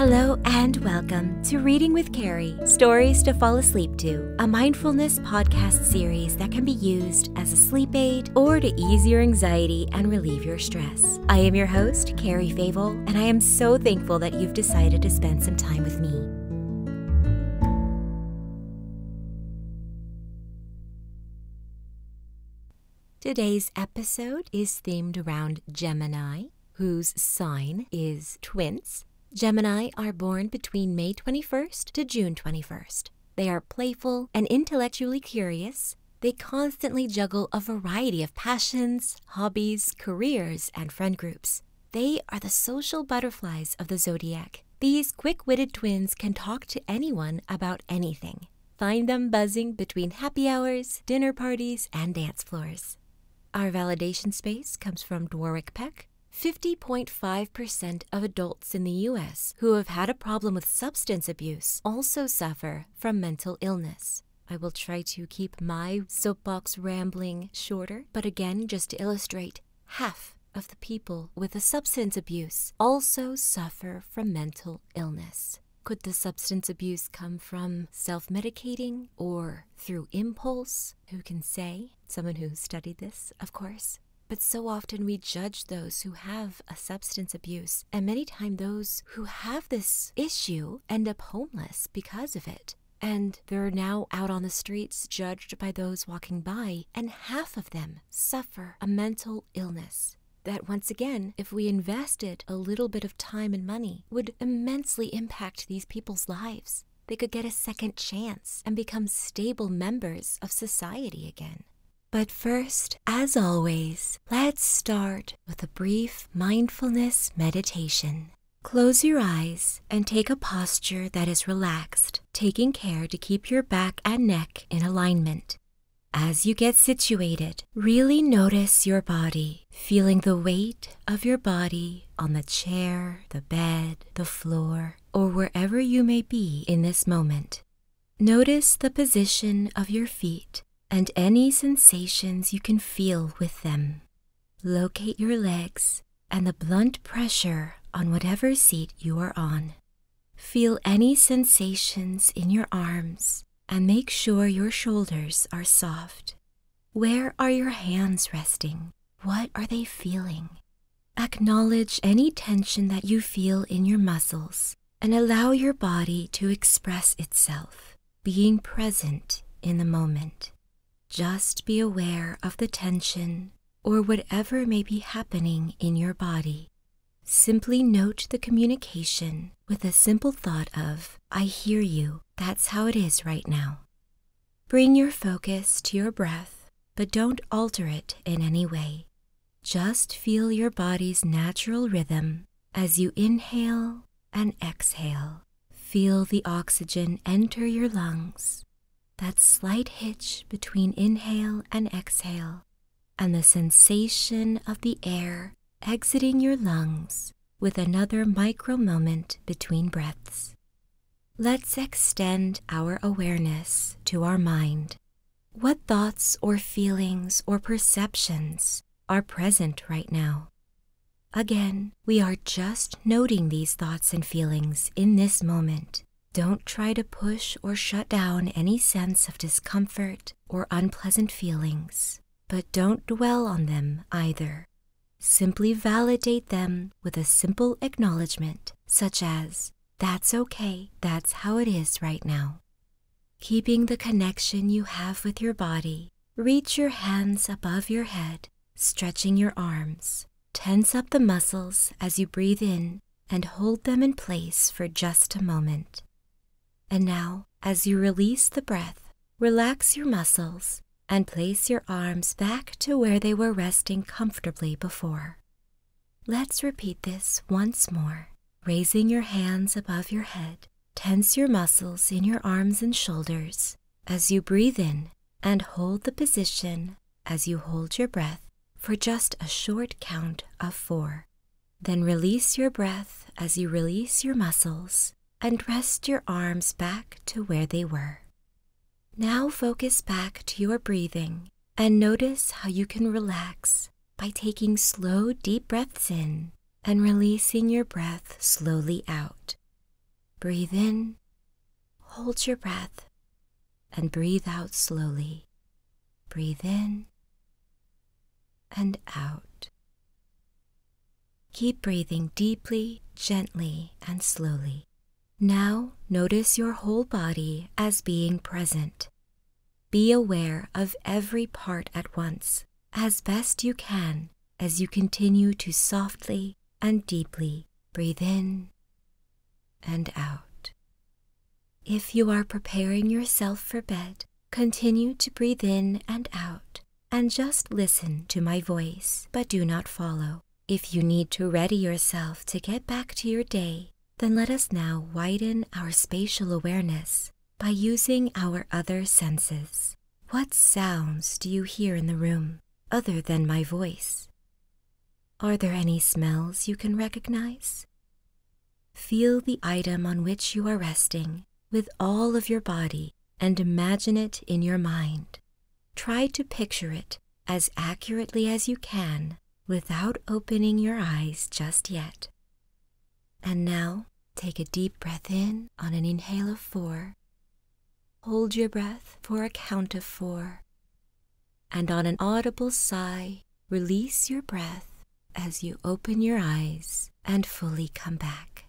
Hello and welcome to Reading with Carrie Stories to Fall Asleep to, a mindfulness podcast series that can be used as a sleep aid or to ease your anxiety and relieve your stress. I am your host, Carrie Favel, and I am so thankful that you've decided to spend some time with me. Today's episode is themed around Gemini, whose sign is twins. Gemini are born between May 21st to June 21st. They are playful and intellectually curious. They constantly juggle a variety of passions, hobbies, careers, and friend groups. They are the social butterflies of the zodiac these quick witted twins can talk to anyone about anything. Find them buzzing between happy hours, dinner parties, and dance floors. Our validation space comes from Dwarwick Peck. 50.5% of adults in the US who have had a problem with substance abuse also suffer from mental illness. I will try to keep my soapbox rambling shorter, but again, just to illustrate, half of the people with a substance abuse also suffer from mental illness. Could the substance abuse come from self medicating or through impulse? Who can say? Someone who studied this, of course. But so often we judge those who have a substance abuse, and many times those who have this issue end up homeless because of it. And they're now out on the streets, judged by those walking by and half of them suffer a mental illness. That once again, if we invested a little bit of time and money, would immensely impact these people's lives. They could get a second chance and become stable members of society again. But first, as always, let's start with a brief mindfulness meditation. Close your eyes and take a posture that is relaxed taking care to keep your back and neck in alignment. As you get situated, really notice your body, feeling the weight of your body on the chair, the bed, the floor, or wherever you may be in this moment. Notice the position of your feet and any sensations you can feel with them. Locate your legs and the blunt pressure on whatever seat you are on. Feel any sensations in your arms and make sure your shoulders are soft. Where are your hands resting? What are they feeling? Acknowledge any tension that you feel in your muscles and allow your body to express itself, being present in the moment. Just be aware of the tension or whatever may be happening in your body. Simply note the communication with a simple thought of, I hear you, that's how it is right now. Bring your focus to your breath, but don't alter it in any way. Just feel your body's natural rhythm as you inhale and exhale. Feel the oxygen enter your lungs that slight hitch between inhale and exhale, and the sensation of the air exiting your lungs with another micro moment between breaths. Let's extend our awareness to our mind. What thoughts or feelings or perceptions are present right now? Again, we are just noting these thoughts and feelings in this moment don't try to push or shut down any sense of discomfort or unpleasant feelings, but don't dwell on them either. Simply validate them with a simple acknowledgement, such as, That's okay, that's how it is right now. Keeping the connection you have with your body, reach your hands above your head Stretching your arms, tense up the muscles as you breathe in and hold them in place for just a moment. And now, as you release the breath, relax your muscles and place your arms back to where they were resting comfortably before. Let's repeat this once more. Raising your hands above your head, tense your muscles in your arms and shoulders. As you breathe in, and hold the position as you hold your breath for just a short count of four. Then release your breath as you release your muscles and rest your arms back to where they were. Now focus back to your breathing and notice how you can relax by taking slow, deep breaths in and releasing your breath slowly out. Breathe in, hold your breath, and breathe out slowly. Breathe in and out. Keep breathing deeply, gently, and slowly. Now notice your whole body as being present. Be aware of every part at once, as best you can, as you continue to softly and deeply breathe in and out. If you are preparing yourself for bed, continue to breathe in and out and just listen to my voice, but do not follow. If you need to ready yourself to get back to your day, then let us now widen our spatial awareness by using our other senses. What sounds do you hear in the room? other than my voice. Are there any smells you can recognize? Feel the item on which you are resting with all of your body and imagine it in your mind. Try to picture it as accurately as you can without opening your eyes just yet. And now take a deep breath in on an inhale of four Hold your breath for a count of four, and on an audible sigh, release your breath as you open your eyes and fully come back.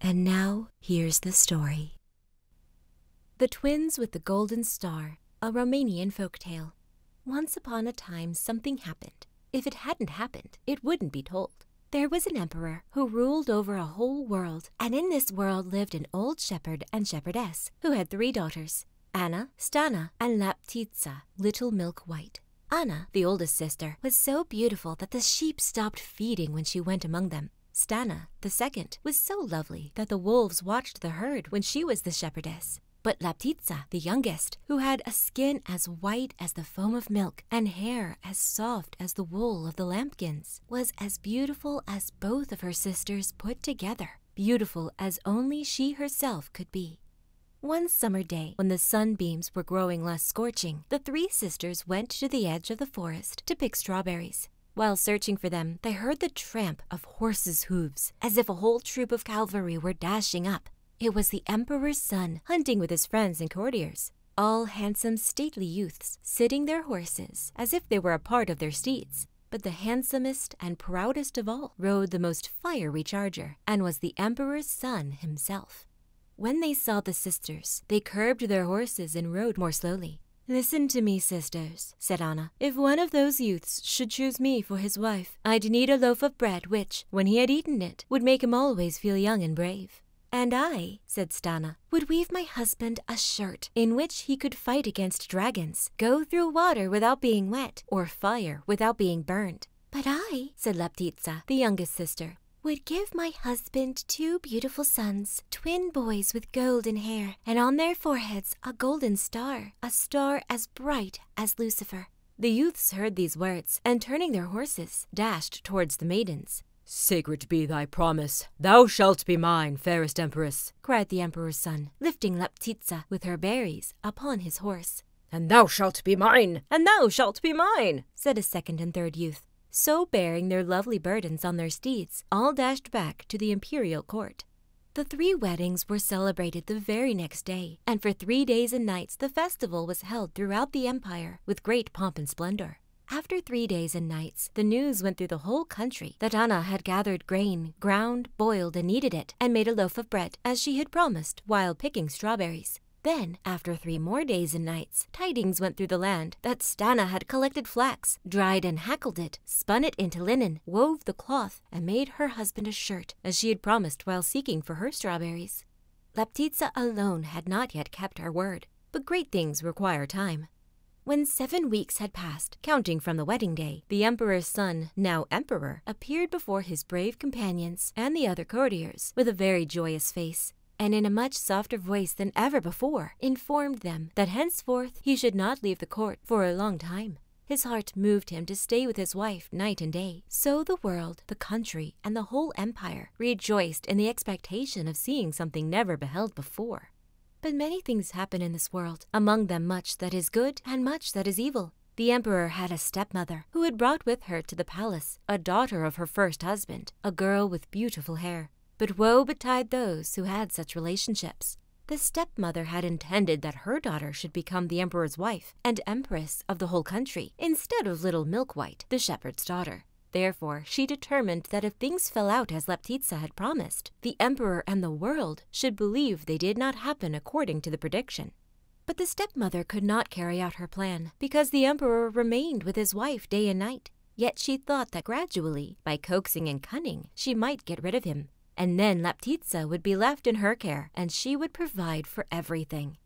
And now here's the story The Twins with the Golden Star, a Romanian folk tale. Once upon a time, something happened. If it hadn't happened, it wouldn't be told. There was an emperor who ruled over a whole world, and in this world lived an old shepherd and shepherdess who had three daughters Anna, Stana, and Laptitsa, Little Milk White. Anna, the oldest sister, was so beautiful that the sheep stopped feeding when she went among them. Stana, the second, was so lovely that the wolves watched the herd when she was the shepherdess. But Laptitsa, the youngest, who had a skin as white as the foam of milk and hair as soft as the wool of the lambkins, was as beautiful as both of her sisters put together, beautiful as only she herself could be. One summer day, when the sunbeams were growing less scorching, the three sisters went to the edge of the forest to pick strawberries. While searching for them, they heard the tramp of horses' hoofs, as if a whole troop of cavalry were dashing up. It was the Emperor's son hunting with his friends and courtiers all handsome stately youths sitting their horses as if they were a part of their steeds. But the handsomest and proudest of all rode the most fiery charger, and was the emperor's son himself. When they saw the sisters, they curbed their horses and rode more slowly. Listen to me, sisters, said Anna. If one of those youths should choose me for his wife, I'd need a loaf of bread which, when he had eaten it, would make him always feel young and brave. And I, said Stana, would weave my husband a shirt in which he could fight against dragons, go through water without being wet, or fire without being burned. But I, said Laptitsa, the youngest sister, would give my husband two beautiful sons, twin boys with golden hair, and on their foreheads a golden star, a star as bright as Lucifer. The youths heard these words, and turning their horses, dashed towards the maidens. Sacred be thy promise. Thou shalt be mine, fairest Empress, cried the Emperor's son, lifting Laptitza with her berries upon his horse. And thou shalt be mine, and thou shalt be mine, said a second and third youth. So bearing their lovely burdens on their steeds, all dashed back to the imperial court. The three weddings were celebrated the very next day, and for three days and nights the festival was held throughout the empire with great pomp and splendor. After three days and nights, the news went through the whole country that Anna had gathered grain, ground, boiled, and kneaded it, and made a loaf of bread, as she had promised while picking strawberries. Then, after three more days and nights, tidings went through the land that Stana had collected flax, dried and hackled it, spun it into linen, wove the cloth, and made her husband a shirt, as she had promised while seeking for her strawberries. Laptitza alone had not yet kept her word, but great things require time. When seven weeks had passed, counting from the wedding day, the emperor's son, now emperor, appeared before his brave companions and the other courtiers with a very joyous face, and in a much softer voice than ever before, informed them that henceforth he should not leave the court for a long time. His heart moved him to stay with his wife night and day. So the world, the country, and the whole empire rejoiced in the expectation of seeing something never beheld before. But many things happen in this world, among them much that is good and much that is evil. The emperor had a stepmother who had brought with her to the palace a daughter of her first husband, a girl with beautiful hair. But woe betide those who had such relationships. The stepmother had intended that her daughter should become the emperor's wife and empress of the whole country, instead of little Milk White, the shepherd's daughter. Therefore, she determined that if things fell out as Leptitsa had promised, the emperor and the world should believe they did not happen according to the prediction. But the stepmother could not carry out her plan, because the emperor remained with his wife day and night. Yet she thought that gradually, by coaxing and cunning, she might get rid of him. And then Laptitza would be left in her care, and she would provide for everything.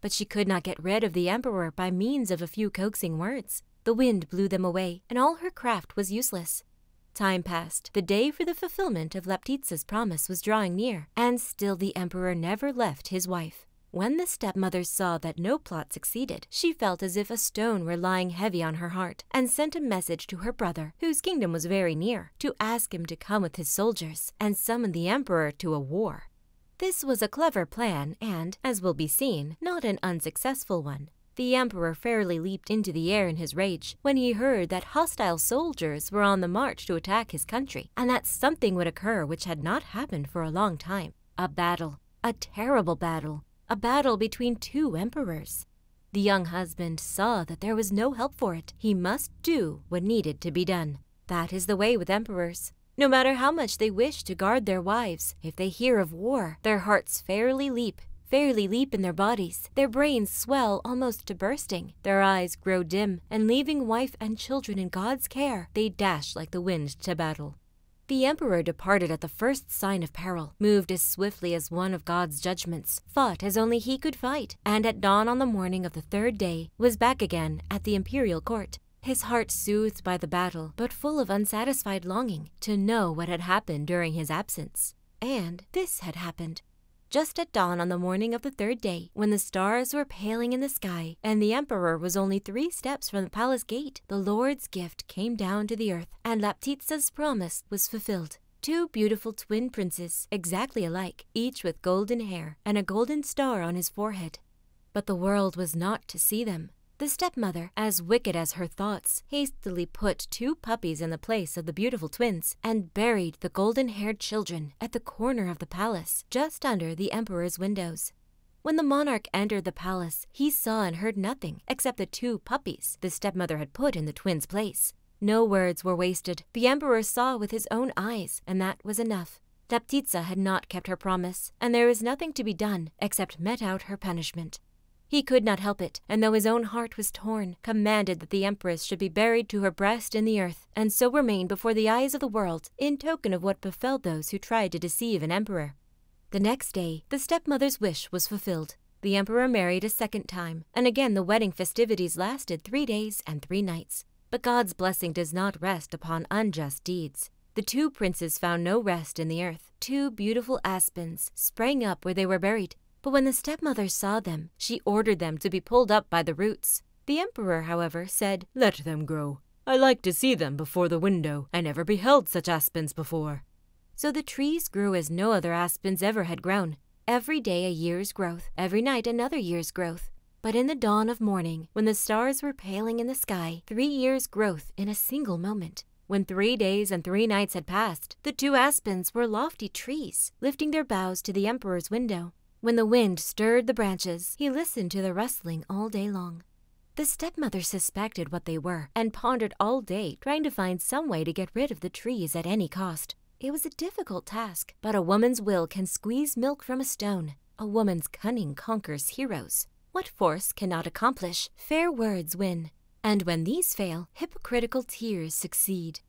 But she could not get rid of the emperor by means of a few coaxing words. The wind blew them away, and all her craft was useless. Time passed. The day for the fulfillment of Leptitsa's promise was drawing near, and still the emperor never left his wife. When the stepmother saw that no plot succeeded, she felt as if a stone were lying heavy on her heart, and sent a message to her brother, whose kingdom was very near, to ask him to come with his soldiers and summon the emperor to a war. This was a clever plan and, as will be seen, not an unsuccessful one. The emperor fairly leaped into the air in his rage when he heard that hostile soldiers were on the march to attack his country, and that something would occur which had not happened for a long time. A battle, a terrible battle, a battle between two emperors. The young husband saw that there was no help for it. He must do what needed to be done. That is the way with emperors. No matter how much they wish to guard their wives, if they hear of war, their hearts fairly leap, fairly leap in their bodies. Their brains swell almost to bursting, their eyes grow dim, and leaving wife and children in God's care, they dash like the wind to battle. The emperor departed at the first sign of peril, moved as swiftly as one of God's judgments, fought as only he could fight, and at dawn on the morning of the third day was back again at the imperial court his heart soothed by the battle, but full of unsatisfied longing to know what had happened during his absence. And this had happened. Just at dawn on the morning of the third day, when the stars were paling in the sky and the emperor was only three steps from the palace gate, the Lord's gift came down to the earth, and Laptitsa's promise was fulfilled two beautiful twin princes, exactly alike, each with golden hair and a golden star on his forehead, but the world was not to see them. The stepmother, as wicked as her thoughts, hastily put two puppies in the place of the beautiful twins and buried the golden haired children at the corner of the palace, just under the emperor's windows. When the monarch entered the palace, he saw and heard nothing except the two puppies the stepmother had put in the twins' place. No words were wasted. The emperor saw with his own eyes, and that was enough enough. had not kept her promise, and there was nothing to be done except mete out her punishment. He could not help it, and though his own heart was torn, commanded that the Empress should be buried to her breast in the earth, and so remain before the eyes of the world, in token of what befell those who tried to deceive an emperor. The next day, the stepmother's wish was fulfilled. The emperor married a second time, and again the wedding festivities lasted three days and three nights. But God's blessing does not rest upon unjust deeds. The two princes found no rest in the earth. Two beautiful aspens sprang up where they were buried. But when the stepmother saw them, she ordered them to be pulled up by the roots. The emperor, however, said, Let them grow. I like to see them before the window. I never beheld such aspens before. So the trees grew as no other aspens ever had grown. Every day a year's growth, every night another year's growth. But in the dawn of morning, when the stars were paling in the sky, three years' growth in a single moment. When three days and three nights had passed, the two aspens were lofty trees, lifting their boughs to the emperor's window. When the wind stirred the branches, he listened to the rustling all day long. The stepmother suspected what they were and pondered all day trying to find some way to get rid of the trees at any cost. It was a difficult task, but a woman's will can squeeze milk from a stone, a woman's cunning conquers heroes. What force cannot accomplish, fair words win. And when these fail, hypocritical tears succeed.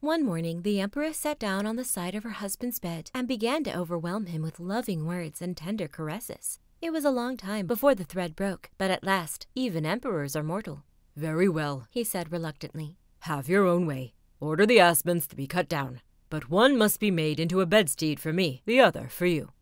One morning, the empress sat down on the side of her husband's bed and began to overwhelm him with loving words and tender caresses. It was a long time before the thread broke, but at last, even emperors are mortal. Very well, he said reluctantly. Have your own way. Order the aspens to be cut down, but one must be made into a bedstead for me, the other for you.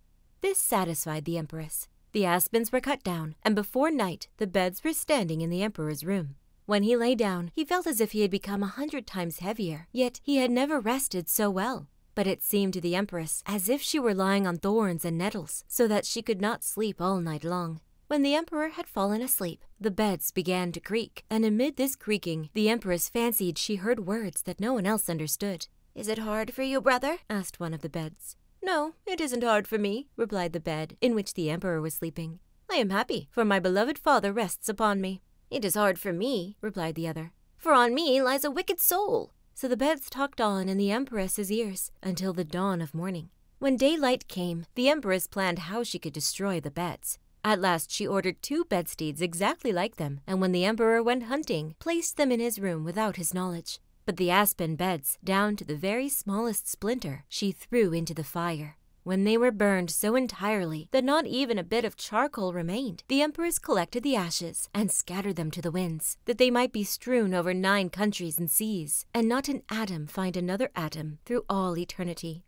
This satisfied the Empress. The aspens were cut down, and before night the beds were standing in the Emperor's room. When he lay down, he felt as if he had become a hundred times heavier, yet he had never rested so well. But it seemed to the Empress as if she were lying on thorns and nettles, so that she could not sleep all night long. When the Emperor had fallen asleep. The beds began to creak, and amid this creaking, the Empress fancied she heard words that no one else understood. Is it hard for you, brother? asked one of the beds. No, it isn't hard for me, replied the bed in which the Emperor was sleeping. I am happy, for my beloved father rests upon me. It is hard for me, replied the other, for on me lies a wicked soul. So the beds talked on in the Empress's ears until the dawn of morning. When daylight came, the Empress planned how she could destroy the beds. At last she ordered two bedsteads exactly like them, and when the emperor went hunting, placed them in his room without his knowledge. But the aspen beds, down to the very smallest splinter, she threw into the fire. When they were burned so entirely that not even a bit of charcoal remained, the empress collected the ashes and scattered them to the winds, that they might be strewn over nine countries and seas, and not an atom find another atom through all eternity.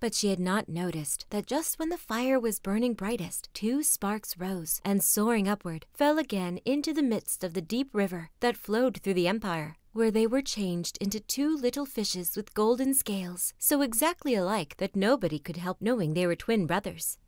But she had not noticed that just when the fire was burning brightest, two sparks rose and, soaring upward, fell again into the midst of the deep river that flowed through the empire, where they were changed into two little fishes with golden scales, so exactly alike that nobody could help knowing they were twin brothers.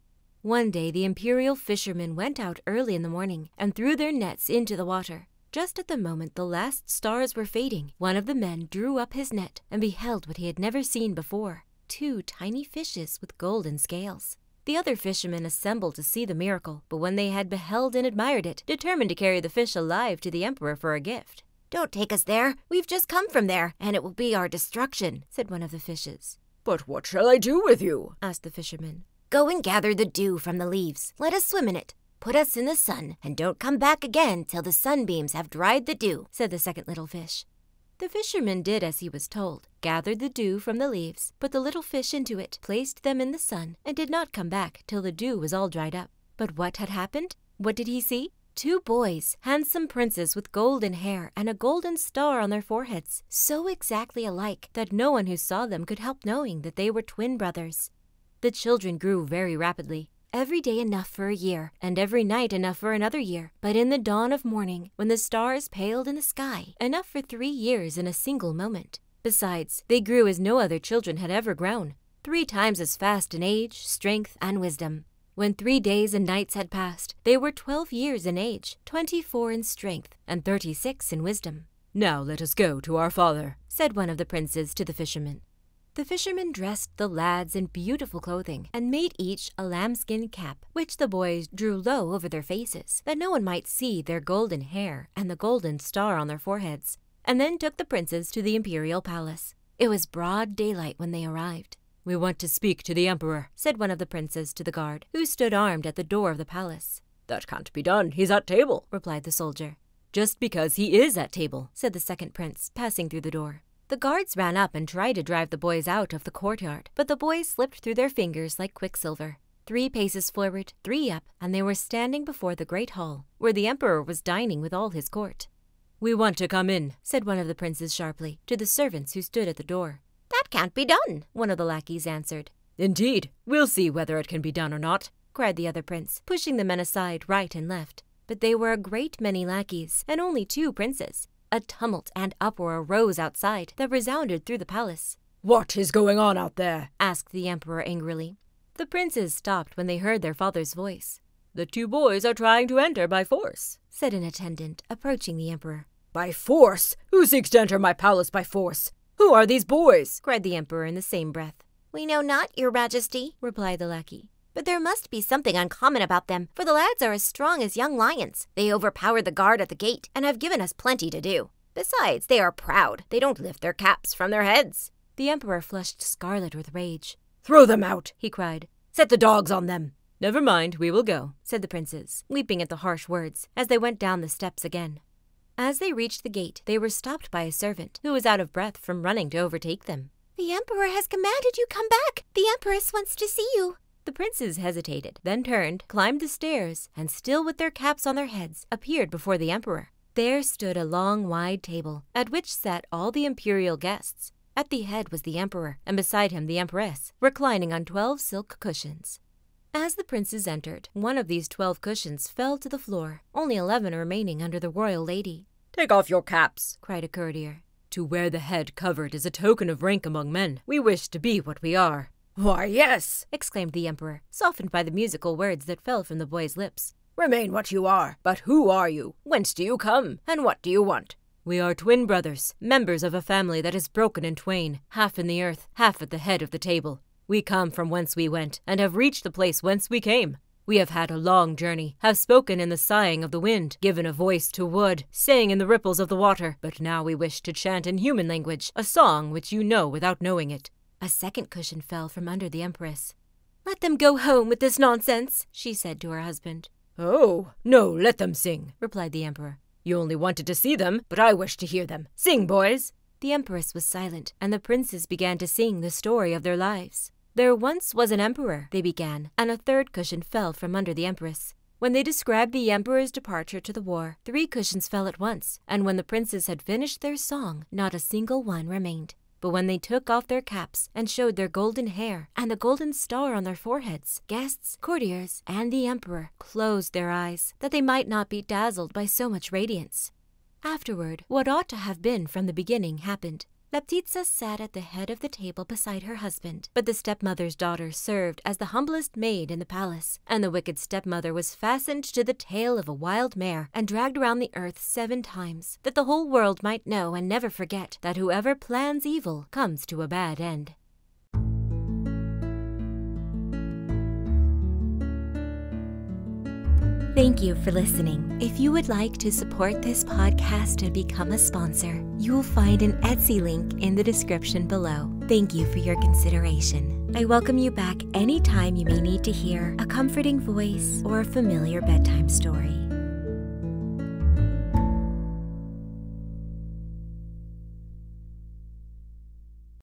One day the imperial fishermen went out early in the morning and threw their nets into the water. Just at the moment the last stars were fading, one of the men drew up his net and beheld what he had never seen before two tiny fishes with golden scales. The other fishermen assembled to see the miracle, but when they had beheld and admired it, determined to carry the fish alive to the emperor for a gift. Don't take us there. We've just come from there, and it will be our destruction, said one of the fishes. But what shall I do with you? asked the fisherman. Go and gather the dew from the leaves. Let us swim in it, Put us in the sun, and don't come back again till the sunbeams have dried the dew, said the second little fish. The fisherman did as he was told, gathered the dew from the leaves, put the little fish into it, placed them in the sun, and did not come back till the dew was all dried up. But what had happened? What did he see? Two boys, handsome princes with golden hair and a golden star on their foreheads, so exactly alike that no one who saw them could help knowing that they were twin brothers. The children grew very rapidly, every day enough for a year, and every night enough for another year. But in the dawn of morning, when the stars paled in the sky, enough for three years in a single moment. Besides, they grew as no other children had ever grown, three times as fast in age, strength, and wisdom. When three days and nights had passed, they were twelve years in age, twenty-four in strength, and thirty-six in wisdom. Now let us go to our father, said one of the princes to the fisherman. The fishermen dressed the lads in beautiful clothing, and made each a lambskin cap, which the boys drew low over their faces, that no one might see their golden hair and the golden star on their foreheads, and then took the princes to the imperial palace. It was broad daylight when they arrived. We want to speak to the emperor, said one of the princes to the guard, who stood armed at the door of the palace. That can't be done. He's at table, replied the soldier. Just because he is at table, said the second prince, passing through the door. The guards ran up and tried to drive the boys out of the courtyard, but the boys slipped through their fingers like quicksilver. Three paces forward, three up, and they were standing before the great hall, where the emperor was dining with all his court. We want to come in, said one of the princes sharply, to the servants who stood at the door. That can't be done, one of the lackeys answered. Indeed, we'll see whether it can be done or not, cried the other prince, pushing the men aside right and left. But they were a great many lackeys, and only two princes. A tumult and uproar arose outside that resounded through the palace. What is going on out there? asked the emperor angrily. The princes stopped when they heard their father's voice. The two boys are trying to enter by force, said an attendant, approaching the emperor. By force? Who seeks to enter my palace by force? Who are these boys? cried the emperor in the same breath. We know not, your majesty, replied the lackey. But there must be something uncommon about them, for the lads are as strong as young lions. They overpowered the guard at the gate, and have given us plenty to do. Besides, they are proud. They don't lift their caps from their heads. The Emperor flushed scarlet with rage. Throw them out, he cried. Set the dogs on them. Never mind, we will go, said the princes, weeping at the harsh words, as they went down the steps again. As they reached the gate, they were stopped by a servant, who was out of breath from running to overtake them. The Emperor has commanded you come back. The Empress wants to see you. The princes hesitated, then turned, climbed the stairs, and still with their caps on their heads, appeared before the Emperor. There stood a long, wide table, at which sat all the imperial guests. At the head was the Emperor, and beside him the Empress, reclining on twelve silk cushions. As the princes entered, one of these twelve cushions fell to the floor only eleven remaining under the royal lady. Take off your caps, cried a courtier. To wear the head covered is a token of rank among men. We wish to be what we are. Why, yes, exclaimed the emperor, softened by the musical words that fell from the boy's lips. Remain what you are. But who are you? Whence do you come? And what do you want? We are twin brothers, members of a family that is broken in twain, half in the earth, half at the head of the table. We come from whence we went, and have reached the place whence we came. We have had a long journey, have spoken in the sighing of the wind, given a voice to wood, sang in the ripples of the water, but now we wish to chant in human language a song which you know without knowing it. A second cushion fell from under the Empress. Let them go home with this nonsense, she said to her husband. Oh, no, let them sing, replied the Emperor. You only wanted to see them, but I wish to hear them. Sing, boys. The empress was silent, and the princes began to sing the story of their lives. There once was an emperor, they began, and a third cushion fell from under the empress. When they described the emperor's departure to the war, three cushions fell at once, and when the princes had finished their song, not a single one remained. But when they took off their caps and showed their golden hair and the golden star on their foreheads, guests, courtiers, and the emperor closed their eyes, that they might not be dazzled by so much radiance. Afterward, what ought to have been from the beginning happened. Laptitsa sat at the head of the table beside her husband, but the stepmother's daughter served as the humblest maid in the palace, and the wicked stepmother was fastened to the tail of a wild mare and dragged around the earth seven times, that the whole world might know and never forget that whoever plans evil comes to a bad end. Thank you for listening. If you would like to support this podcast and become a sponsor, you will find an Etsy link in the description below. Thank you for your consideration. I welcome you back anytime you may need to hear a comforting voice or a familiar bedtime story.